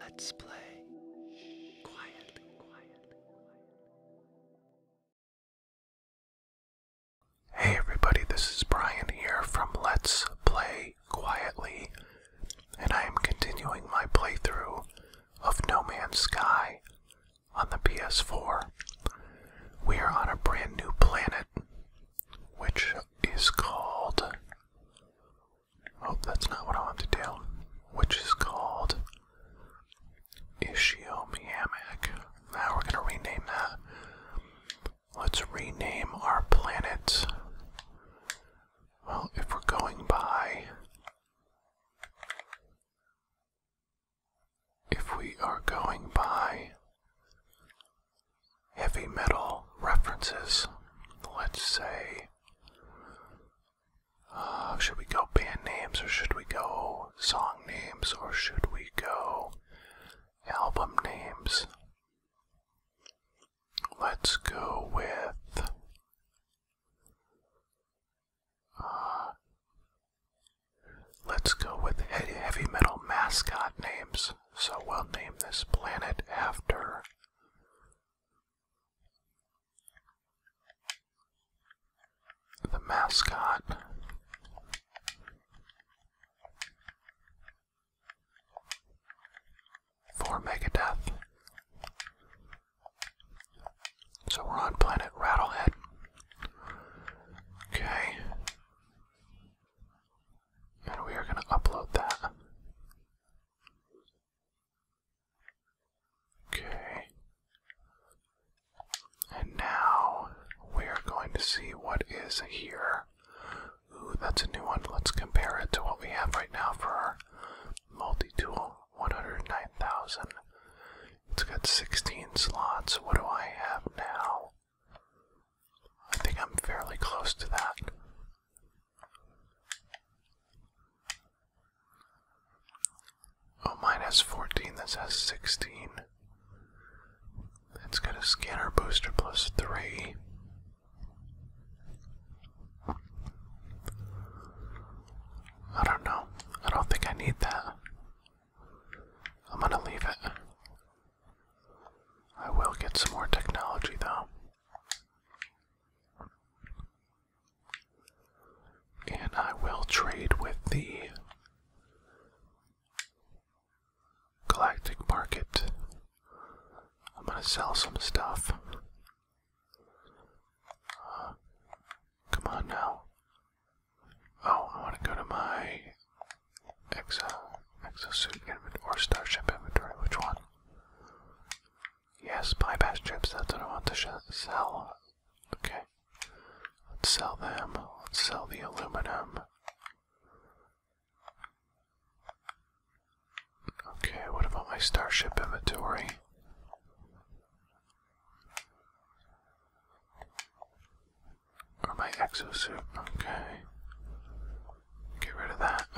Let's play quietly, Hey everybody, this is Brian here from Let's Play Quietly, and I am continuing my playthrough of No Man's Sky on the PS4. We are on a brand new planet, which is called Oh, that's not what I want to do. Which is called Ishiomiamic. Now we're gonna rename that. Let's rename our planet. Well, if we're going by if we are going by heavy metal references, let's say uh, should we go band names or should we go song names or should we go album names? Let's go with. Uh, let's go with heavy metal mascot names. So we'll name this planet after the mascot for Megadeth. So we're on planet Rattlehead. Okay. And we are going to upload that. Okay. And now we are going to see what is here. Ooh, that's a new one. Let's compare it to what we have right now for our multi-tool 109,000. It's got 16 slots. What do I have now? I think I'm fairly close to that. Oh, mine has 14, this has 16. It's got a scanner booster plus 3. I don't know. I don't think I need that. I'm gonna leave it. I will get some more technology though. And I will trade with thee. Galactic Market. I'm going to sell some stuff. Uh, come on now. Oh, I want to go to my exo exosuit inventory or starship inventory. Which one? Yes, bypass chipsets. I don't want to sell. Okay. Let's sell them. Let's sell the aluminum. Okay, what about my starship inventory? Or my exosuit? Okay. Get rid of that.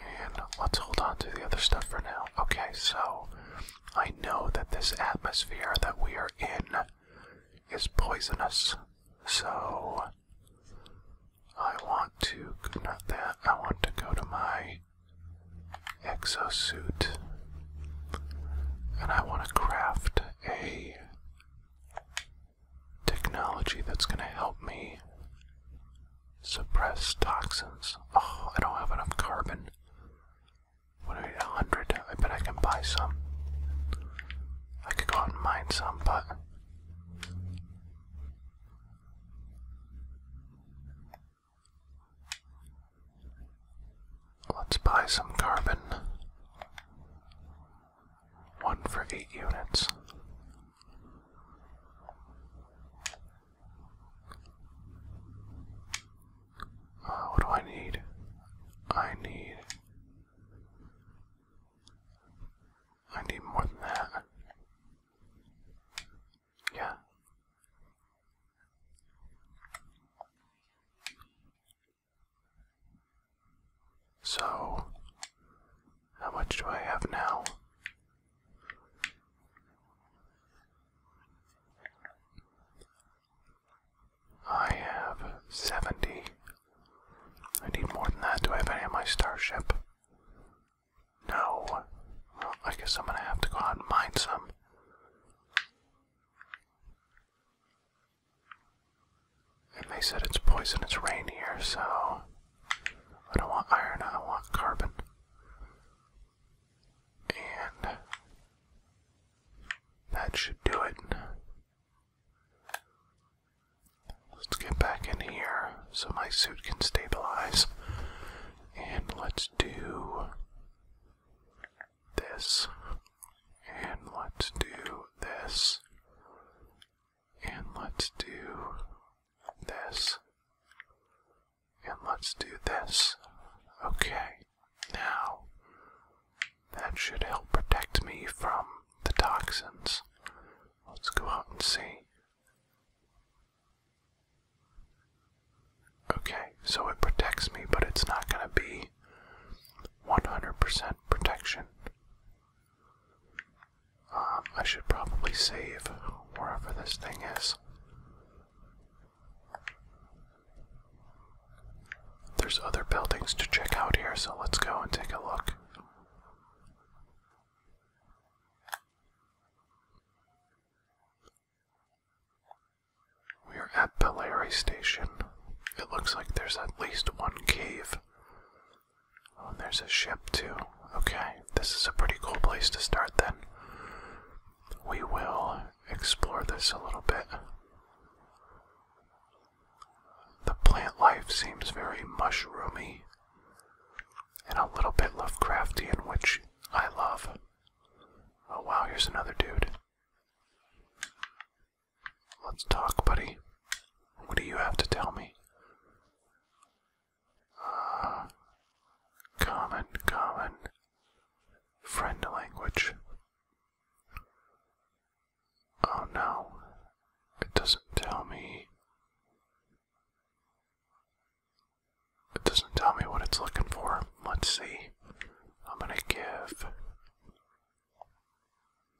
And let's hold on to the other stuff for now. Okay, so I know that this atmosphere that we are in is poisonous. So I want to not that I want to go to my exosuit and I want to craft a technology that's going to help me suppress toxins. Oh, I don't have enough carbon. What do I need? 100? I bet I can buy some. I could go out and mine some, but. Let's buy some carbon. One for eight units. Uh, what do I need? I need. I need more than that. Yeah. So, how much do I have now? I have 70. I need more than that. Do I have any of my starship? No. Well, I guess I'm gonna have to go out and mine some. And they said it's poisonous rain here, so I don't want iron, I want carbon. And that should do it. Let's get back in here so my suit can stabilize. And let's do this. And let's do this. And let's do this. And let's do this. Okay, now that should help protect me from the toxins. Let's go out and see. Okay, so it protects me, but it's not going to be 100% protection. Um, I should probably save wherever this thing is. There's other buildings to check out here, so let's go and take a look. We are at Pelari Station. It looks like there's at least one cave Oh, and there's a ship too. Okay, this is a pretty cool place to start then. We will explore this a little bit. The plant life seems very mushroomy and a little bit Lovecrafty, Lovecraftian, which I love. Oh wow, here's another dude. Let's talk, buddy. What do you have to tell me? Uh, common, common. Friend language. Oh no, it doesn't tell me. It doesn't tell me what it's looking for. Let's see. I'm gonna give.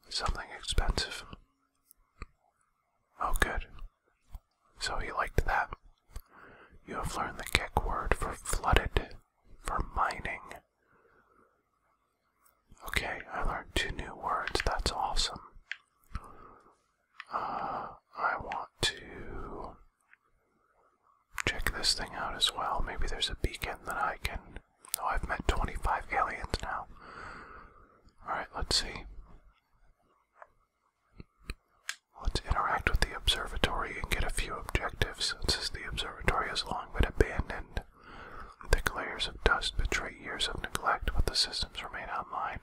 Something expensive. Oh, good. So he liked that. You have learned the kick word for flooded, for mining. Okay, I learned two new words. That's awesome. Uh, I want to check this thing out as well. Maybe there's a beacon that I can. Oh, I've met 25 aliens now. Alright, let's see. Let's interact with the observatory and get a few objectives. Since the observatory has long been abandoned, thick layers of dust betray years of neglect, but the systems remain online.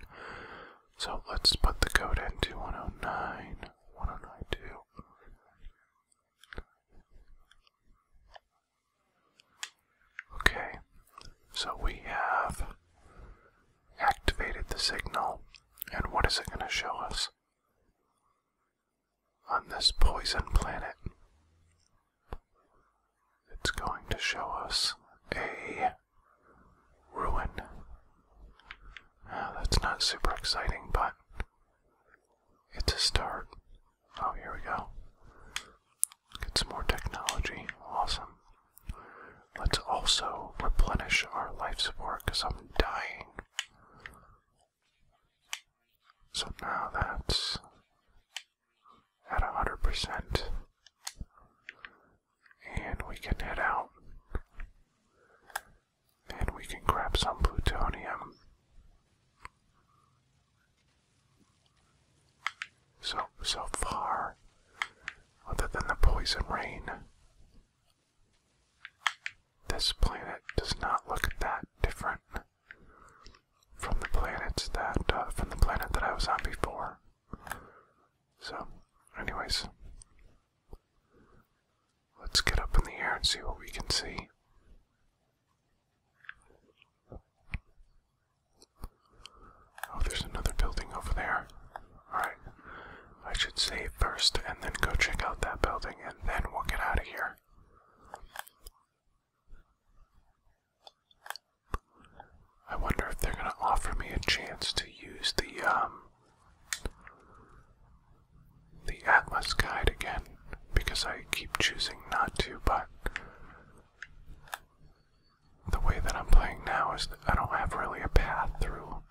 So let's put the code into 109, 1092. Okay, so we have activated the signal, and what is it going to show us? On this poison planet, it's going to show us a ruin. Ah, that's not super exciting, but it's a start. Oh, here we go. Get some more technology. Awesome. Let's also replenish our life support because I'm dying. So now that's at 100%. And we can head out. And we can grab some plutonium. So, so far, other than the poison rain, this planet does not look that different from the planets that uh, from the planet that I was on before. So, anyways, let's get up in the air and see what we can see. Oh, there's another building over there. Alright. I should save first and then go check out that building and then we'll get out of here. I wonder if they're gonna offer me a chance to use the um the Atlas guide again because I keep choosing not to, but the way that I'm playing now is that I don't have really a path through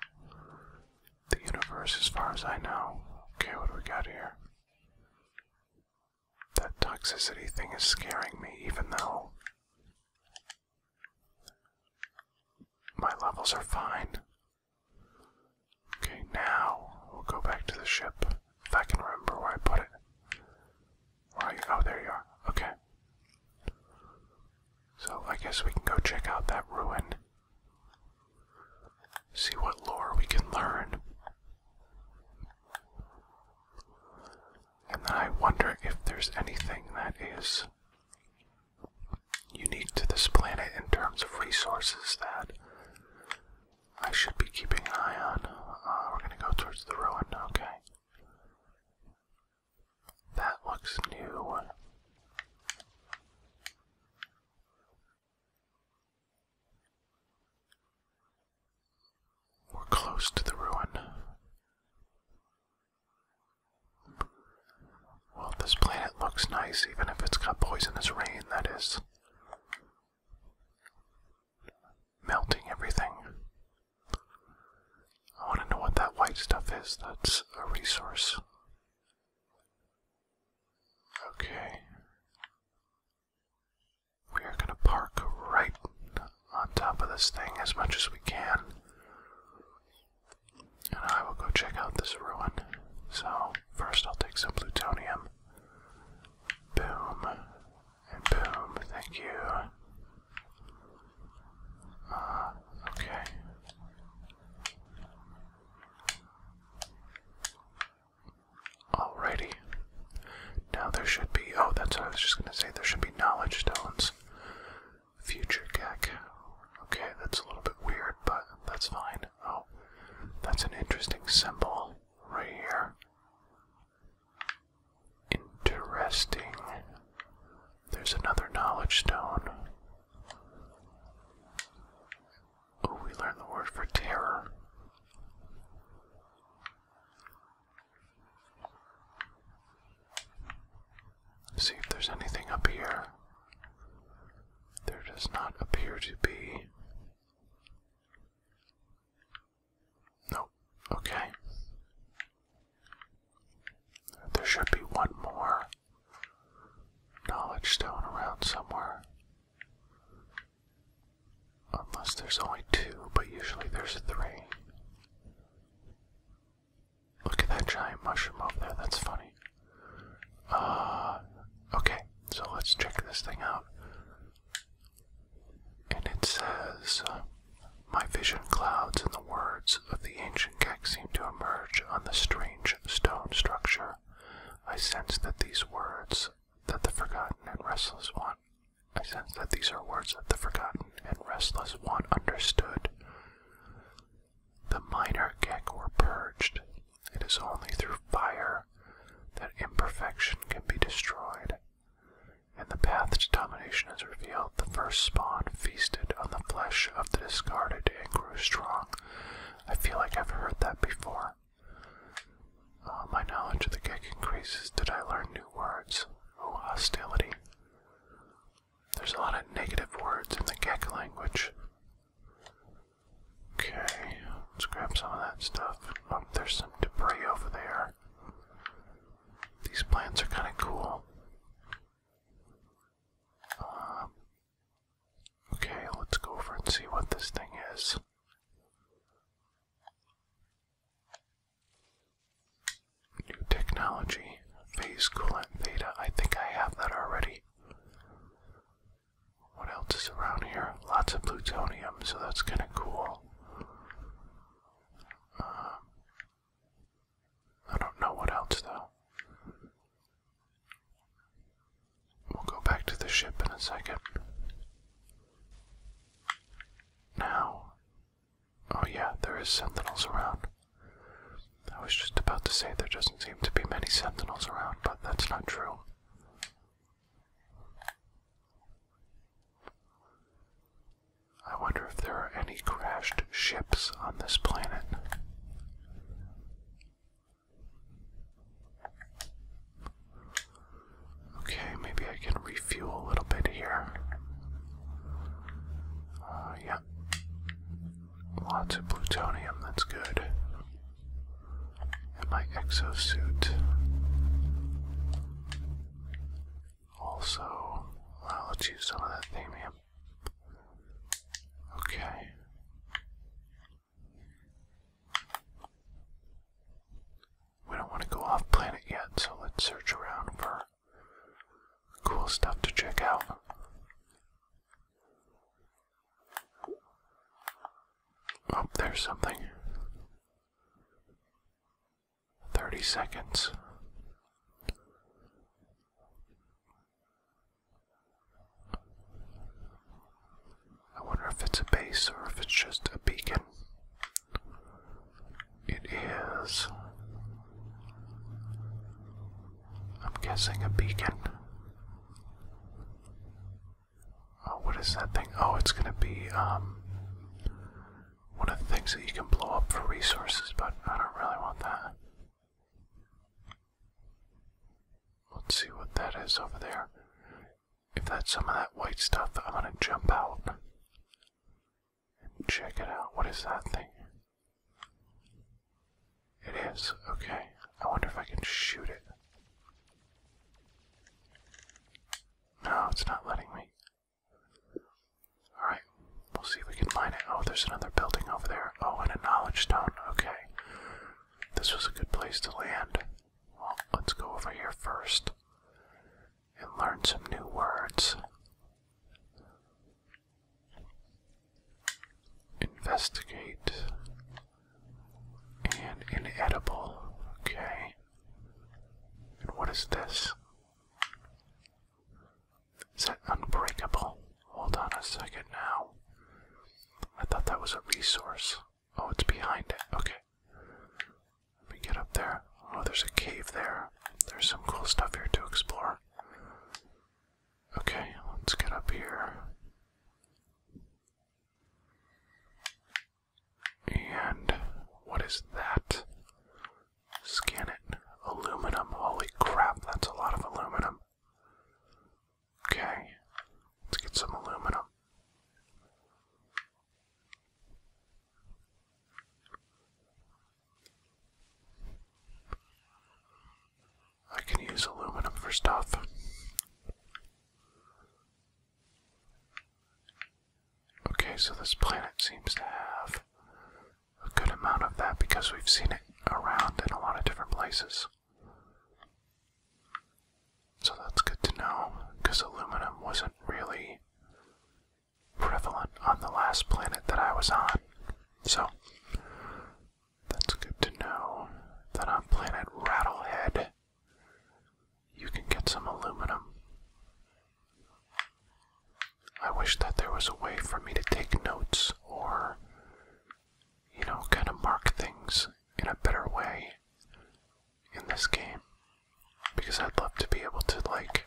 the universe as far as I know. Okay, what do we got here? That toxicity thing is scaring me, even though my levels are fine. Okay, now we'll go back to the ship if I can remember where I put it. Oh, there you are. Okay. So I guess we can go check out that ruin. See what lore we can learn. And then I wonder if there's anything that is unique to this planet in terms of resources that I should be keeping an eye on. Uh, we're gonna go towards the ruin, okay. That looks new. We're close to the ruin. Well, this planet looks nice, even if it's got poisonous rain, that is melting everything. I want to know what that white stuff is. That's a resource. Okay. We are going to park right on top of this thing as much as we can. And I will go check out this ruin. So, first I'll take some plutonium. Boom. And boom, thank you. Uh, okay. Alrighty. Now there should be. Oh, that's what I was just gonna say. There should be knowledge stones. Future Gek. Okay, that's a little bit weird, but that's fine. Oh, that's an interesting symbol right here. Interesting. There's another knowledge stone. Oh, we learned the word for terror. see if there's anything up here. There does not appear to be. Nope. Okay. There should be one more knowledge stone around somewhere. Unless there's only two, but usually there's three. Look at that giant mushroom over there, that's funny. Uh, okay, so let's check this thing out. And it says, uh, My vision clouds and the words of the ancient Keck seem to emerge on the strange stone structure. I sense that these words that the forgotten and restless one I sense that these are words that the forgotten and restless one understood. The minor Gek were purged. It is only through fire that imperfection can be destroyed. And the path to domination is revealed. The first spawn feasted on the flesh of the discarded and grew strong. I feel like I've heard that before. my knowledge of the Gek increases. Did I learn new words? Oh, hostility. There's a lot of negative words in the Gek language. Okay, let's grab some of that stuff. Oh, there's some debris over there. These plants are kind of cool. Um, okay, let's go over and see what this thing is. New technology, phase coolant theta. I think I have that already. What else is around here? Lots of plutonium, so that's kind of cool. Um, I don't know what else though. We'll go back to the ship in a second. Now, oh yeah, there is sentinels around. I was just about to say there doesn't seem to be many sentinels around, but that's not true. I wonder if there are any crashed ships on this planet. Okay, maybe I can refuel a little bit here. Uh, yeah. Lots of plutonium, that's good. And my exosuit. Also, let's use some of that thamium. Okay. We don't want to go off planet yet, so let's search around for cool stuff to check out. Oh, there's something. 30 seconds. I wonder if it's a base or if it's just a beacon. It is. I'm guessing a beacon. Oh, what is that thing? Oh, it's gonna be, um, one of the things that you can blow up for resources, but I don't really want that. Let's see what that is over there. If that's some of that white stuff, I'm gonna jump out and check it out. What is that thing? It is, okay. I wonder if I can shoot it. No, it's not letting me. Alright, we'll see if we can find it. Oh, there's another building over there. Oh, and a knowledge stone. Okay. This was a good place to land. Well, let's go over here first and learn some new words. Investigate and inedible. Okay. And what is this? Is that unbreakable? Hold on a second now. I thought that was a resource. Oh, it's behind it. Okay. Let me get up there. Oh, there's a cave there. There's some cool stuff here to explore. Okay, let's get up here. And what is that? Scan it. Aluminum. Holy crap, that's a lot of aluminum. Okay, let's get some aluminum. I can use aluminum for stuff. Okay, so this planet seems to have a good amount of that because we've seen it around in a lot of different places. So that's good to know because aluminum wasn't really prevalent on the last planet that I was on. So that's good to know that on planet Rattlehead you can get some aluminum. I wish that there was a way for me to take notes or, you know, kind of mark things in a better way in this game. Because I'd love to be able to, like,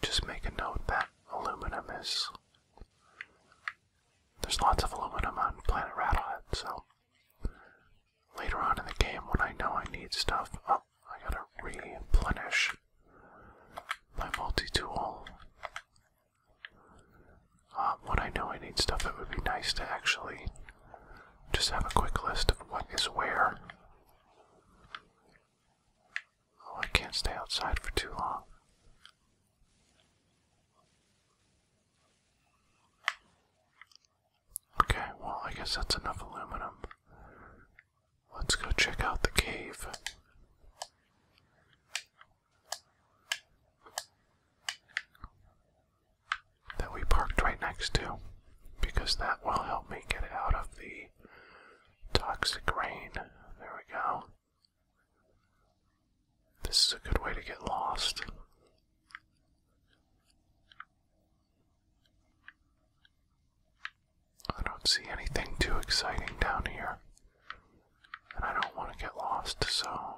just make a note that aluminum is. There's lots of aluminum on Planet Rattlehead, so later on in the game when I know I need stuff. Oh, I gotta replenish my multi-tool. Uh, when I know I need stuff, it would be nice to actually just have a quick list of what is where. Oh, I can't stay outside for too long. Okay, well, I guess that's enough aluminum. Let's go check out the cave. That we parked right next to, because that will help me get out of the toxic rain. There we go. This is a good way to get lost. I don't see anything too exciting down here. And I don't want to get lost, so.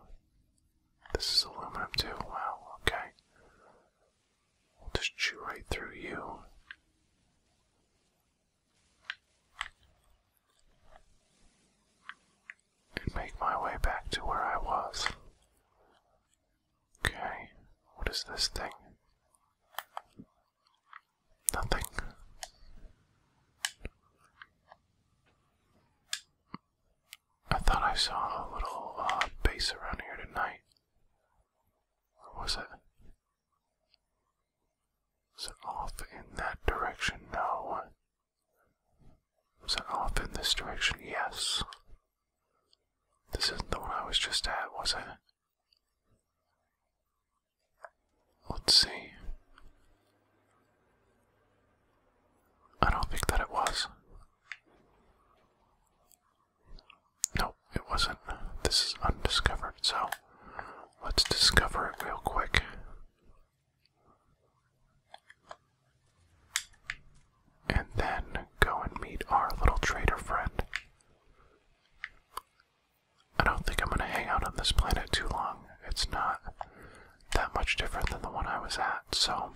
This is aluminum too. Well, okay. We'll just chew right through you. And make my way back to where I was. Okay, what is this thing? Nothing. I thought I saw a little uh, base around here tonight. Where was it? Was it off in that direction? No. Was it off in this direction? Yes. This isn't the one I was just at, was it? Let's see. I don't think that it was. No, it wasn't. This is undiscovered, so let's discover it real quick and then go and meet our little trader friend. I don't think I'm going to hang out on this planet too long. It's not that much different than the one I was at, so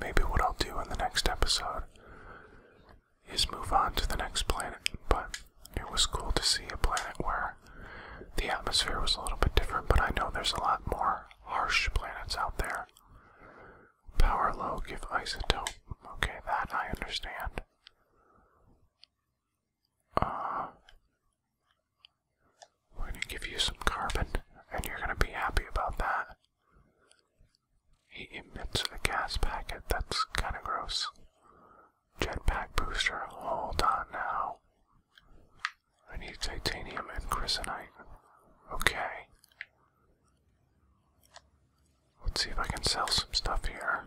maybe what I'll do in the next episode is move on to the next planet. But it was cool to see a planet where the atmosphere was a little bit different, but I know there's a lot more harsh planets out there. Power low, give isotope. Okay, that I understand. Uh, we're gonna give you some carbon, and you're gonna be happy about that. He emits a gas packet, that's kinda gross. Jetpack booster, hold on now. I need titanium and chrysinite. Okay. Let's see if I can sell some stuff here.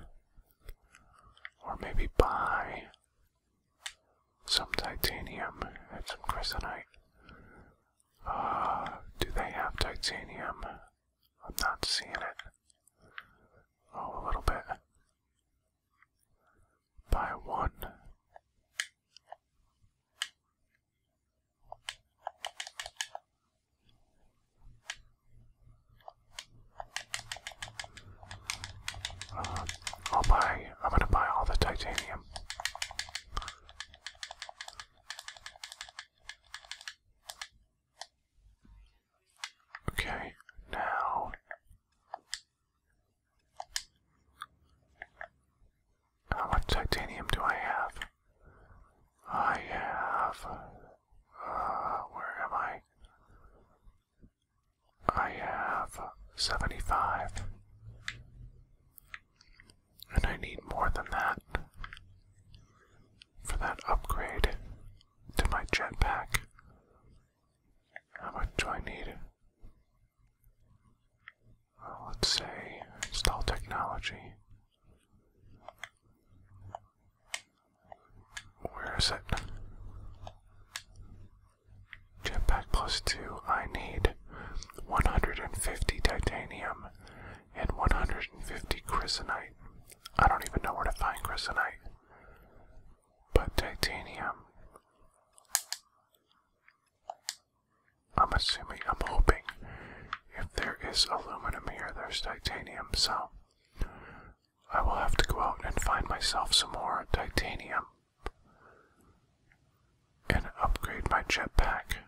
Or maybe buy some titanium and some chrysolite. Uh, do they have titanium? I'm not seeing it. Oh, a little bit. Buy one. I'll buy, I'm gonna buy all the titanium. Okay, now how much titanium do I have? I have. Uh, where am I? I have 75. And I need more than that for that upgrade to my jetpack. How much do I need? Well, let's say install technology. Where is it? Jetpack plus two. I need 150 titanium and 150 chrysonite. I don't even know where to find chrysonite. But titanium. I'm assuming, I'm hoping if there is aluminum here, there's titanium, so I will have to go out and find myself some more titanium and upgrade my jetpack.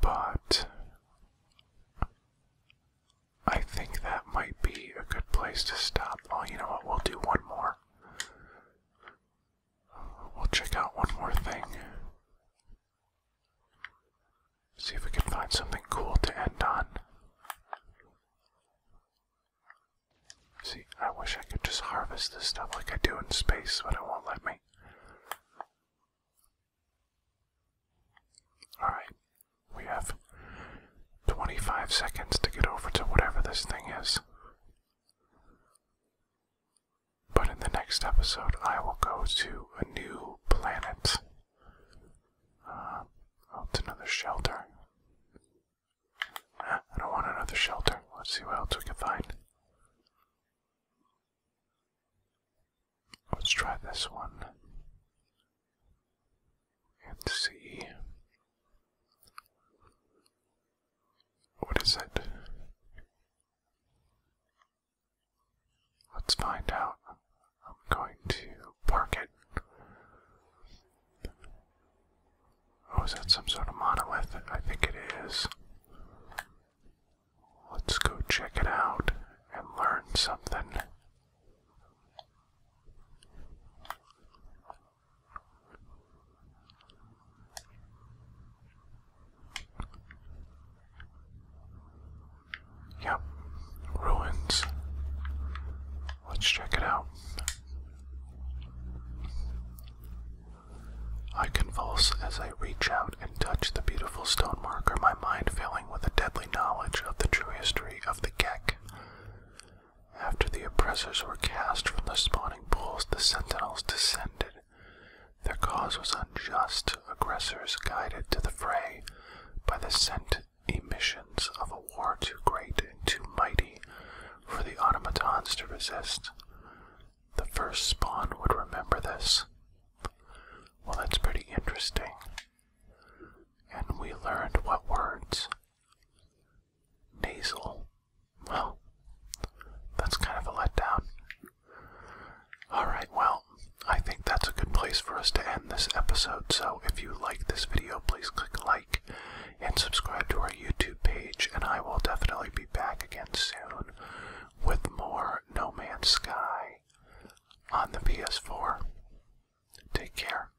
But I think that might be a good place to stop. Oh, you know what? We'll do one more. We'll check out one more thing. See if we can find something cool to end on. See, I wish I could just harvest this stuff like I do in space, but it won't let me. Alright, we have 25 seconds to get over to whatever this thing is. But in the next episode, I will go to a new planet. Uh, oh, it's another shelter. Ah, I don't want another shelter. Let's see what else we can find. Let's try this one. And see. What is it? Let's find out. I'm going to park it. Oh, is that some sort of monolith? I think it is. Let's go check it out and learn something. Yep, ruins. Let's check it out. I convulse as I reach out and touch the beautiful stone marker, my mind filling with a deadly knowledge of the true history of the Geck. After the oppressors were cast from the spawning drowning the sentinels descended. Their cause was unjust, aggressors guided to the fray by the scent emissions of a war too great and too mighty for the automatons to resist. The first spawn would remember this. Well, that's pretty interesting. And we learned what words? Nasal well, that's kind of a letdown. Alright, well, I think that's a good place for us to end this episode. So if you like this video, please click like and subscribe to our YouTube page, and I will definitely be back again soon with more No Man's Sky on the PS4. Take care.